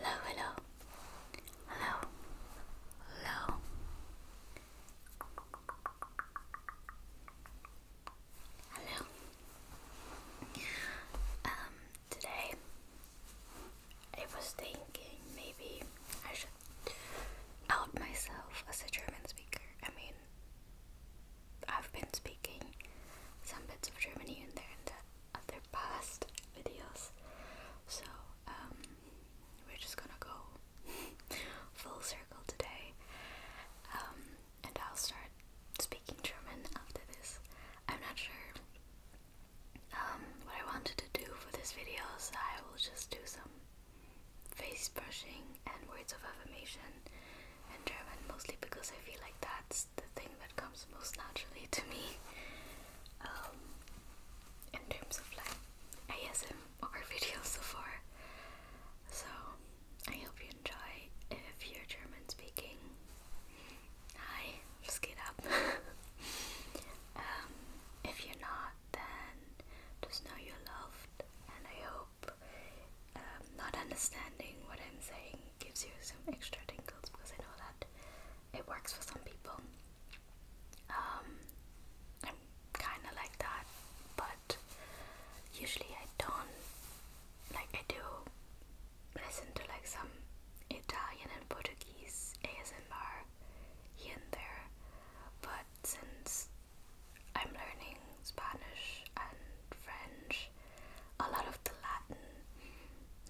Hello, hello, hello, hello. Um, today I was thinking maybe I should out myself as a German speaker. I mean, I've been speaking some bits of German in there in the uh, other past videos, so um, we're just gonna go full circle today, um, and I'll start speaking German after this. I'm not sure um, what I wanted to do for this video, so I will just do some face brushing and words of affirmation in German mostly because I feel like that's the thing that comes most naturally to me um, in terms of like ASMR videos so far. So I hope you enjoy if you're German speaking. Hi, just get up. Um, if you're not, then just know you're loved, and I hope hope um, not understanding what I'm saying gives you some extra tingles because I know that it works for some people. Um, I'm kind of like that, but usually I don't. Like, I do listen to like some Italian and Portuguese ASMR here and there, but since I'm learning Spanish and French, a lot of the Latin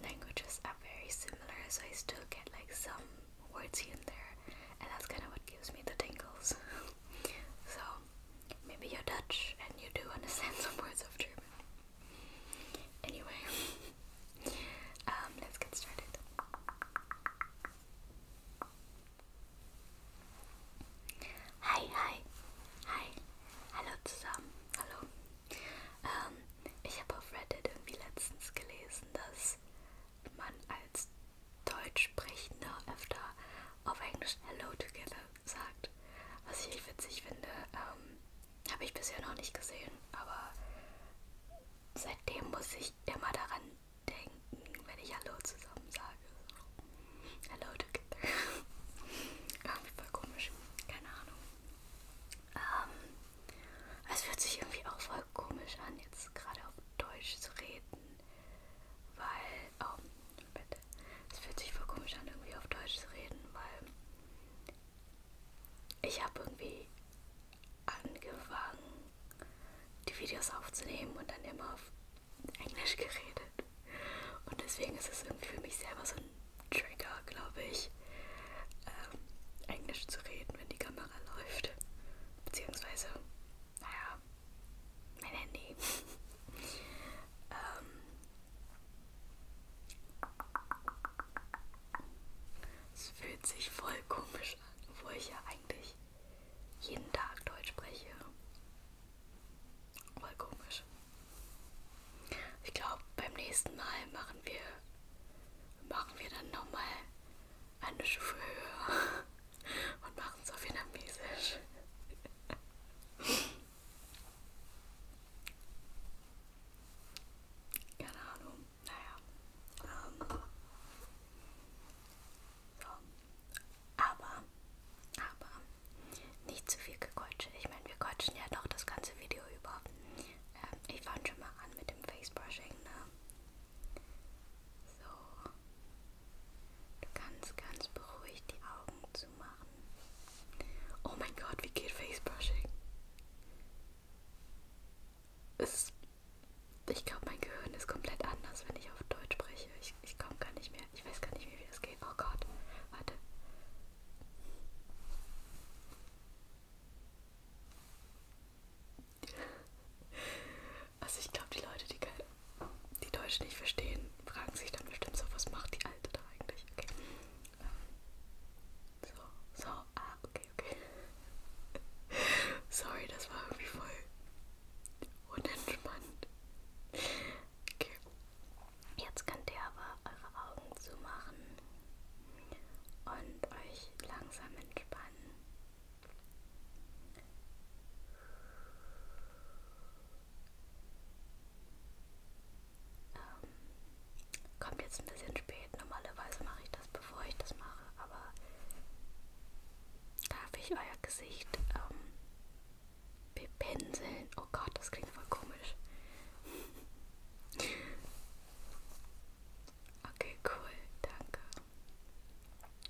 languages are very similar, so I still get like some words here and there, and that's kind of what gives me the tingles. so maybe you're Dutch and you do understand some words of German. Anyway, um, let's get started. Hi, hi, hi, hallo zusammen, hallo. Ähm, ich habe auf Reddit irgendwie letztens gelesen, dass man als Deutschsprechender öfter auf Englisch Hello Together sagt, was ich witzig finde. Ähm, habe ich bisher noch nicht gesehen, aber seitdem muss ich immer daran denken, wenn ich Hallo zusammen sage. Hello together. irgendwie voll komisch. Keine Ahnung. Ähm, es fühlt sich irgendwie auch voll komisch an, jetzt gerade auf Deutsch zu reden. Weil, oh, bitte. Es fühlt sich voll komisch an, irgendwie auf Deutsch zu reden, weil ich habe irgendwie angefangen, die Videos aufzunehmen und dann immer auf Englisch geredet. Und deswegen ist es irgendwie für mich selber so ein Trigger, glaube ich, ähm, Englisch zu reden, wenn die Kamera läuft. Beziehungsweise, naja, mein Handy. ähm, es fühlt sich voll komisch an, obwohl ich ja eigentlich jeden Tag Deutsch spreche. Voll komisch. Ich glaube, beim nächsten Mal machen wir machen wir dann nochmal eine Stufe höher und machen es auf Vietnamesisch. Keine Ahnung. Naja. Ähm. So. Aber, aber, nicht zu viel gequatscht. Ich meine, wir quatschen ja doch das ganze Video über. Ähm, ich fange schon mal an mit dem Facebrushing, ne? So. Du kannst ganz beruhigt die Augen zumachen. Oh mein Gott, wie geht Facebrushing? Es, ich glaube, mein Gehirn ist komplett anders, wenn ich auf Deutsch spreche. Ich, ich komme gar nicht mehr wir. Ich weiß gar nicht, wie wir das geht. Oh Gott. Warte. Also ich glaube, die Leute, die, die Deutsch nicht verstehen, fragen sich dann bestimmt so, was macht die Alte da eigentlich? Okay. So, so, ah, okay, okay. Sorry, das war irgendwie voll unentspannt. Okay. Jetzt könnt ihr aber eure Augen zumachen und euch langsam entspannen. Ähm, kommt jetzt ein bisschen spät. Normalerweise mache ich das, bevor ich das mache, aber darf ich euer Gesicht ähm, Bepinseln. Oh Gott, das klingt voll komisch. Okay, cool. Danke.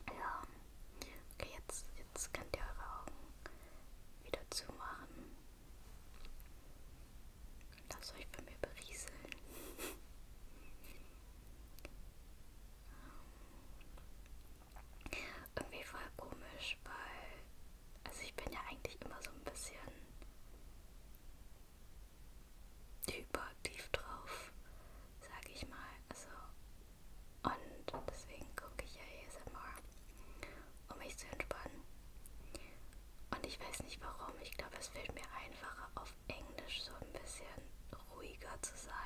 Ja. Okay, jetzt, jetzt könnt ihr eure Augen wieder zumachen. Lasst euch bei mir berieseln. Ähm, irgendwie voll komisch, weil also ich bin ja eigentlich immer so ein bisschen hyperaktiv drauf, sage ich mal. Also und deswegen gucke ich ja ASMR, um mich zu entspannen. Und ich weiß nicht warum, ich glaube, es fällt mir einfacher auf Englisch so ein bisschen ruhiger zu sein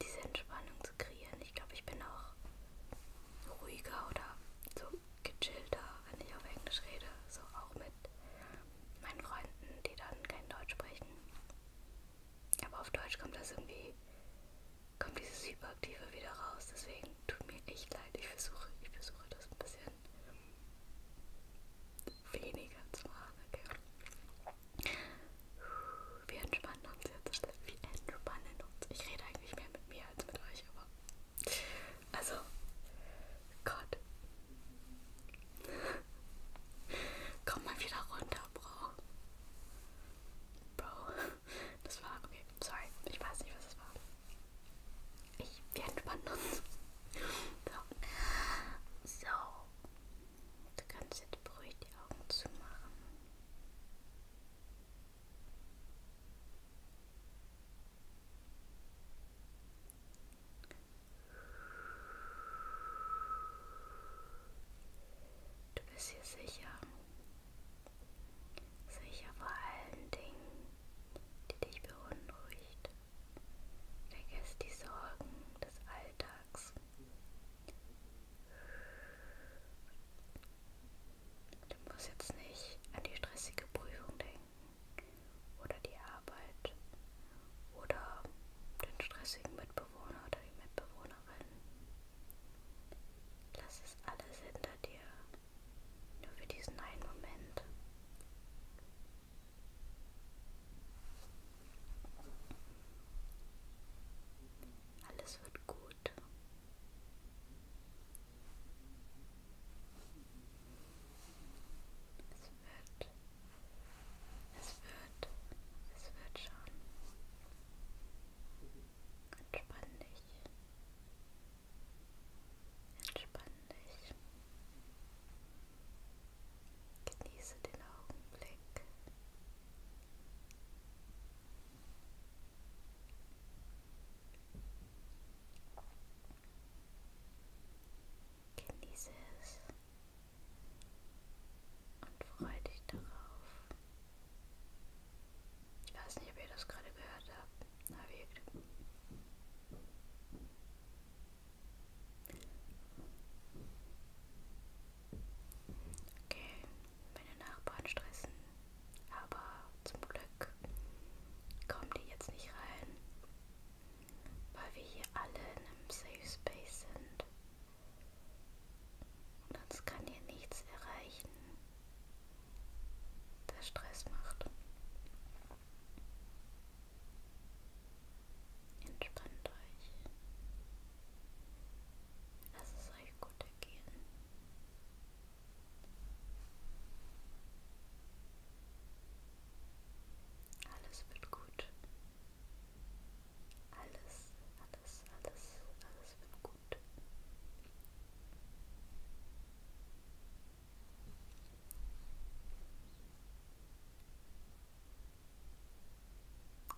diese Entspannung zu kreieren. Ich glaube, ich bin auch ruhiger oder so gechillter, wenn ich auf Englisch rede. So auch mit meinen Freunden, die dann kein Deutsch sprechen. Aber auf Deutsch kommt das irgendwie, kommt dieses Hyperaktive wieder raus. Deswegen tut mir echt leid. Ich versuche, ich versuche das ein bisschen weniger zu machen. Okay wir entspannen uns jetzt alle. Wir entspannen uns. Ich rede eigentlich mehr mit mir als mit euch, aber. Also, Gott. Komm mal wieder runter, Bro. Bro. Das war. Okay, sorry. Ich weiß nicht, was es war. Ich, wir entspannen uns. So. so. Du kannst jetzt beruhigt die Augen zumachen. Du bist hier sicher. Sicher vor allen Dingen, die dich beunruhigt. Vergiss die Sorgen des Alltags. Du musst jetzt nicht an die stressige Prüfung denken oder die Arbeit oder den stressigen Mitbewohner oder die Mitbewohnerin. Lass es alles hinter dir, nur für diesen einen Moment. Alles wird gut wird, es wird, es wird schon. Entspann dich. Entspann dich. Genieße den Augenblick. Genieße Genieße es und freue dich darauf. Ich weiß nicht, ob ihr das gerade gehört habt. Na wirkt. Okay, meine Nachbarn stressen, aber zum Glück kommen die jetzt nicht rein, weil wir hier alle in einem Safe Space sind. Und uns kann hier nichts erreichen, der Stress macht. Entspannt euch. Das ist gleich gut ergehen. Alles wird gut. Alles, alles, alles, alles wird gut.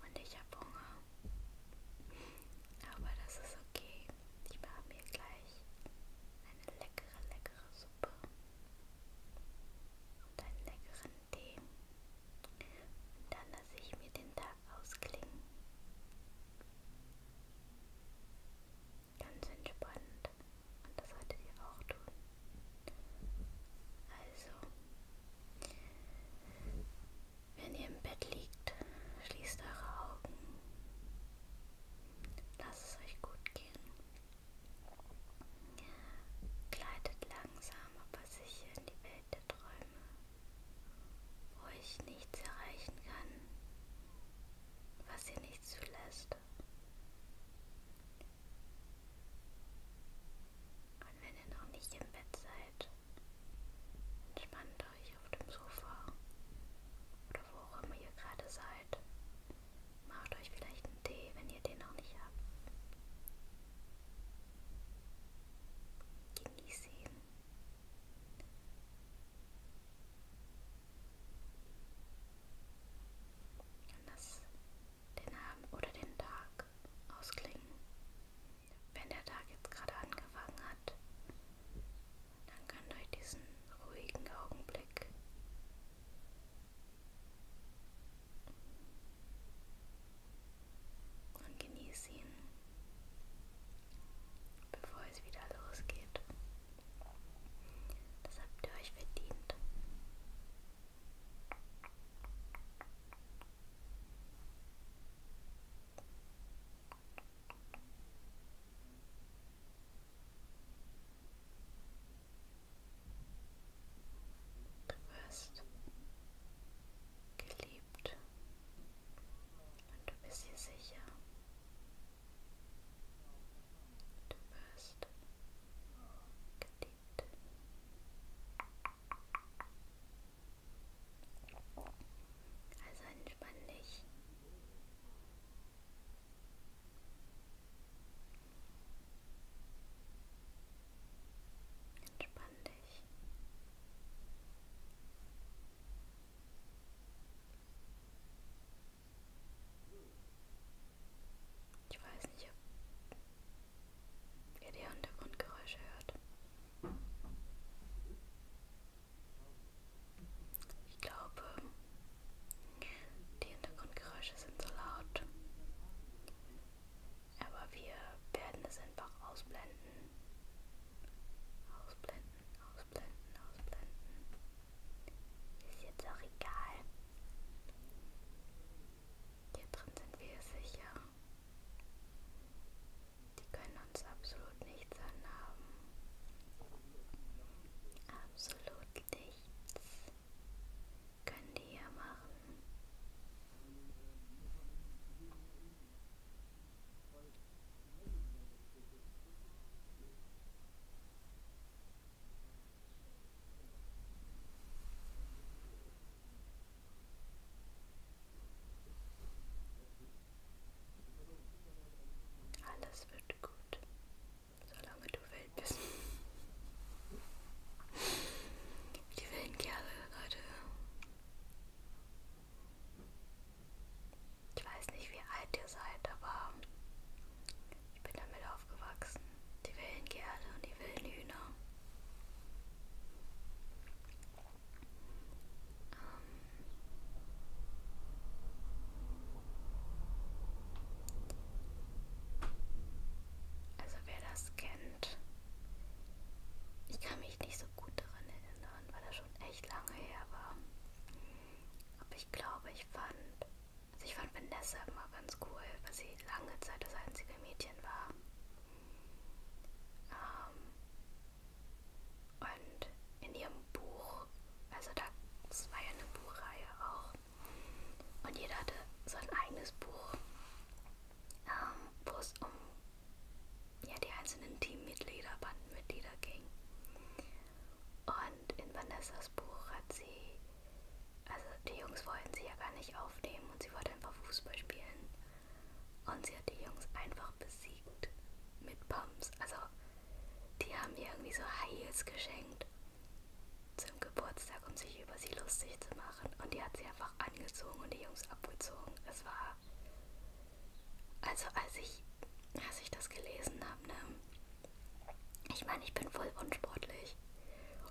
Und ich habe Hunger. Aber das ist okay. Ich mache mir gleich eine leckere, leckere Suppe und einen leckeren Tee. Und dann lasse ich mir den Tag ausklingen. Ganz entspannt. Und das solltet ihr auch tun. Also, wenn ihr im Bett liegt, schließt eure Augen. Lasst es euch gut gehen. Gleitet langsam, aber sicher in die Welt der Träume, wo ich nichts erreichen kann, was ihr nicht zulässt. Und wenn ihr noch nicht im Bett seid, Entspannt euch auf dem Sofa oder wo auch immer ihr gerade seid. Macht euch vielleicht einen Tee, wenn ihr den noch nicht habt. Genießt ihn. Und lasst den Abend oder den Tag ausklingen wenn der Tag jetzt gerade angefangen hat, dann könnt ihr euch diesen ruhigen Augenblick und genießt ihn, bevor es wieder losgeht. Das habt ihr euch verdient. Du wirst geliebt und du bist hier sicher. Du wirst geliebt. Du also entspann dich. Entspann dich. Ich weiß nicht, ob ihr die Hintergrundgeräusche hört. Ich glaube, die Hintergrundgeräusche sind so laut, aber wir werden es einfach ausblenden. Ausblenden, ausblenden, ausblenden. Ist jetzt auch egal. Hier drin sind wir sicher. Die können uns absolut nichts anhaben. Absolut nichts können die hier machen. Alles wird gut, solange du wild bist. Die wilden Kerle, Leute. Ich weiß nicht, wie alt ihr seid, aber ich bin damit aufgewachsen. Die wilden Kerle und die wilden Hühner. Ähm, also wer das kennt, ich kann mich nicht so gut daran erinnern, weil das schon echt lange her war. Aber ich glaube, ich fand, also ich fand Vanessa immer ganz cool, weil sie lange Zeit das einzige Mädchen war. Ähm, und in ihrem Buch, also das war ja eine Buchreihe auch, und jeder hatte so ein eigenes Buch, ähm, wo es um ja, die einzelnen Teammitglieder, Bandenmitglieder ging. Und in Vanessas Buch hat sie, also die Jungs wollten sie ja gar nicht aufnehmen und sie wollte einfach Fußball spielen. Und sie hat die Jungs einfach besiegt mit Pumps. Also, die haben ihr irgendwie so High Heels geschenkt zum Geburtstag, um sich über sie lustig zu machen. Und die hat sie einfach angezogen und die Jungs abgezogen. Es war. Also, als ich, als ich das gelesen habe, ne? Ich meine, ich bin voll unsportlich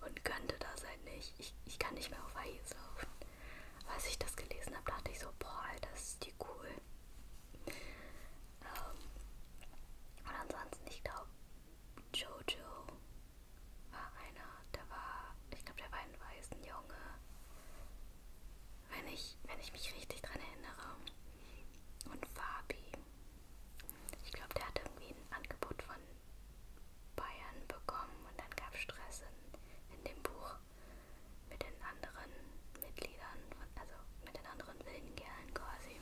und könnte das halt nicht. Ich, ich kann nicht mehr auf High Heels laufen als ich das gelesen habe, dachte ich so, boah, Alter, ist die cool. Ähm, und ansonsten, ich glaube, Jojo war einer, der war, ich glaube, der war ein weißen Junge. Wenn ich, wenn ich mich richtig dran erinnere. Und Fabi. Ich glaube, der hatte irgendwie ein Angebot von Bayern bekommen und dann gab es Stress in, in dem Buch mit den anderen Mitgliedern, also mit den anderen wilden Kerlen quasi.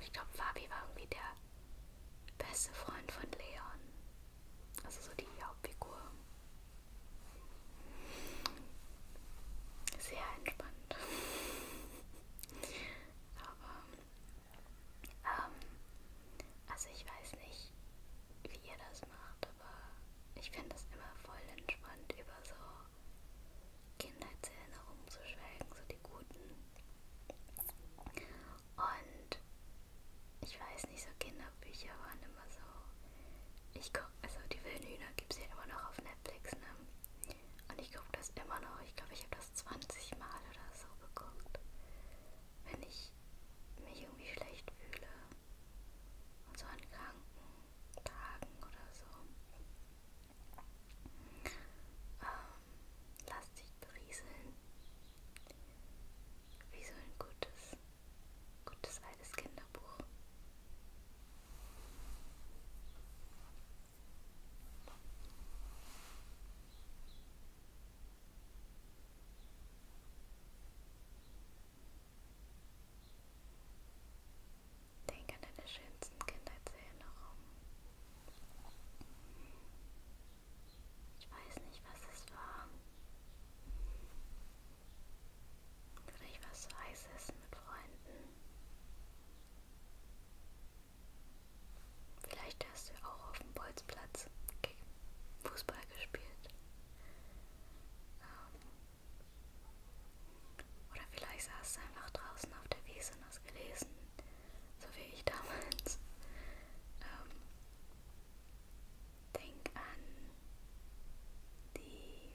Ich glaube, Fabi war irgendwie der beste Freund von Leon. Also so die Hauptfigur. Sehr entspannt. Aber, ähm, also ich weiß nicht, wie ihr das das macht, aber ich finde es immer voll entspannt, über so Kindheitserinnerungen zu schwelgen, so die guten. Und ich weiß nicht, so Kinderbücher waren immer so. Ich guck, also die wilden Hühner gibt es ja immer noch auf Netflix, ne? Und ich gucke das immer noch. Ich glaube, ich habe das 20 Mal oder so geguckt wenn ich mich irgendwie schlecht fühle. Und so an kranken Tagen oder so. Ähm, lass dich berieseln. Wie so ein gutes, gutes altes Kinderbuch. Denk an deine schönsten Kindheitserinnerungen. Ich weiß nicht, was es war. Vielleicht war es so heiß essen mit Freunden. Vielleicht hast du auch auf dem Bolzplatz Fußball gespielt. Ähm, oder vielleicht saß es einfach draußen auf der Wiese und hast gelesen, so wie ich damals. Ähm, denk an die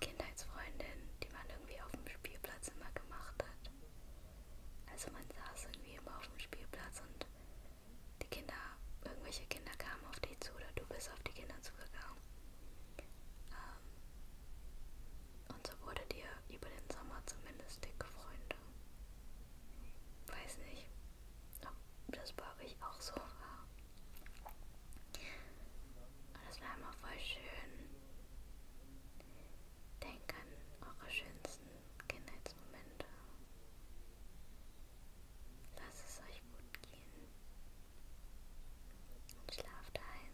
Kindheitsfreundin, die man irgendwie auf dem Spielplatz immer gemacht hat. Also man saß irgendwie immer auf dem Spielplatz und die Kinder, irgendwelche Kinder kamen auf dich zu oder du bist auf die Kinder zugegangen. Ähm, und so wurde dir über den Sommer zumindest dicke Freunde. Weiß nicht, ob das bei euch auch so war. Und das war immer voll schön. Denkt an eure schönsten Kindheitsmomente. Lasst es euch gut gehen. Und schlaft ein.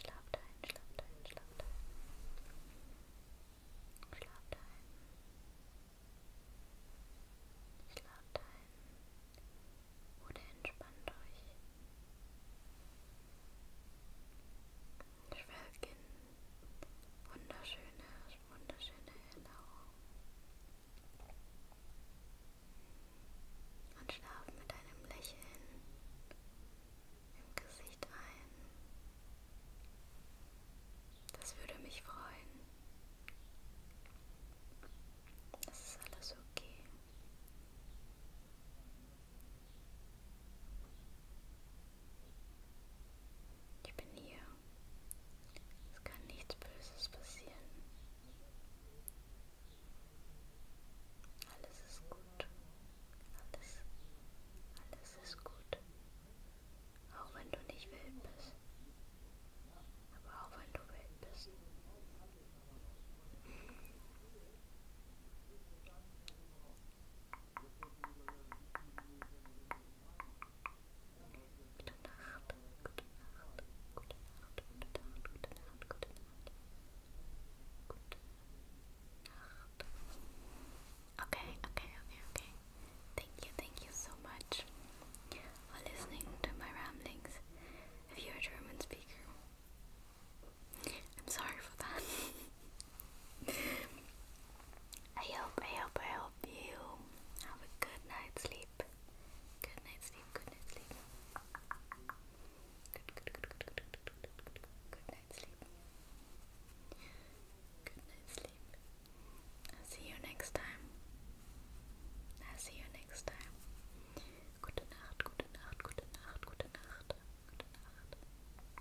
Schlaft ein, schlaft ein, schlaft ein. Schlaft ein. Schlaft ein. Oder entspannt euch. Ich will gehen. Wunderschöne, wunderschöne Erinnerung. Und schlaf mit einem Lächeln im Gesicht ein. Das würde mich freuen. Das ist alles okay. Ich bin hier. Es kann nichts Böses passieren. Alles ist gut. Alles, alles ist gut. Auch wenn du nicht wild bist. Aber auch wenn du wild bist. Okay, okay, okay, okay. Thank you, thank you so much for listening to my ramblings. If you're a German speaker, I'm sorry for that. I hope, I hope, I hope you have a good night's sleep. Good night's sleep, good night's sleep. Good, good, good, good, good, good, good, good, night's sleep. Good night's sleep. I'll see you next time. I'll see you next time. Gute Nacht, gute Nacht, gute Nacht, gute Nacht, gute Nacht.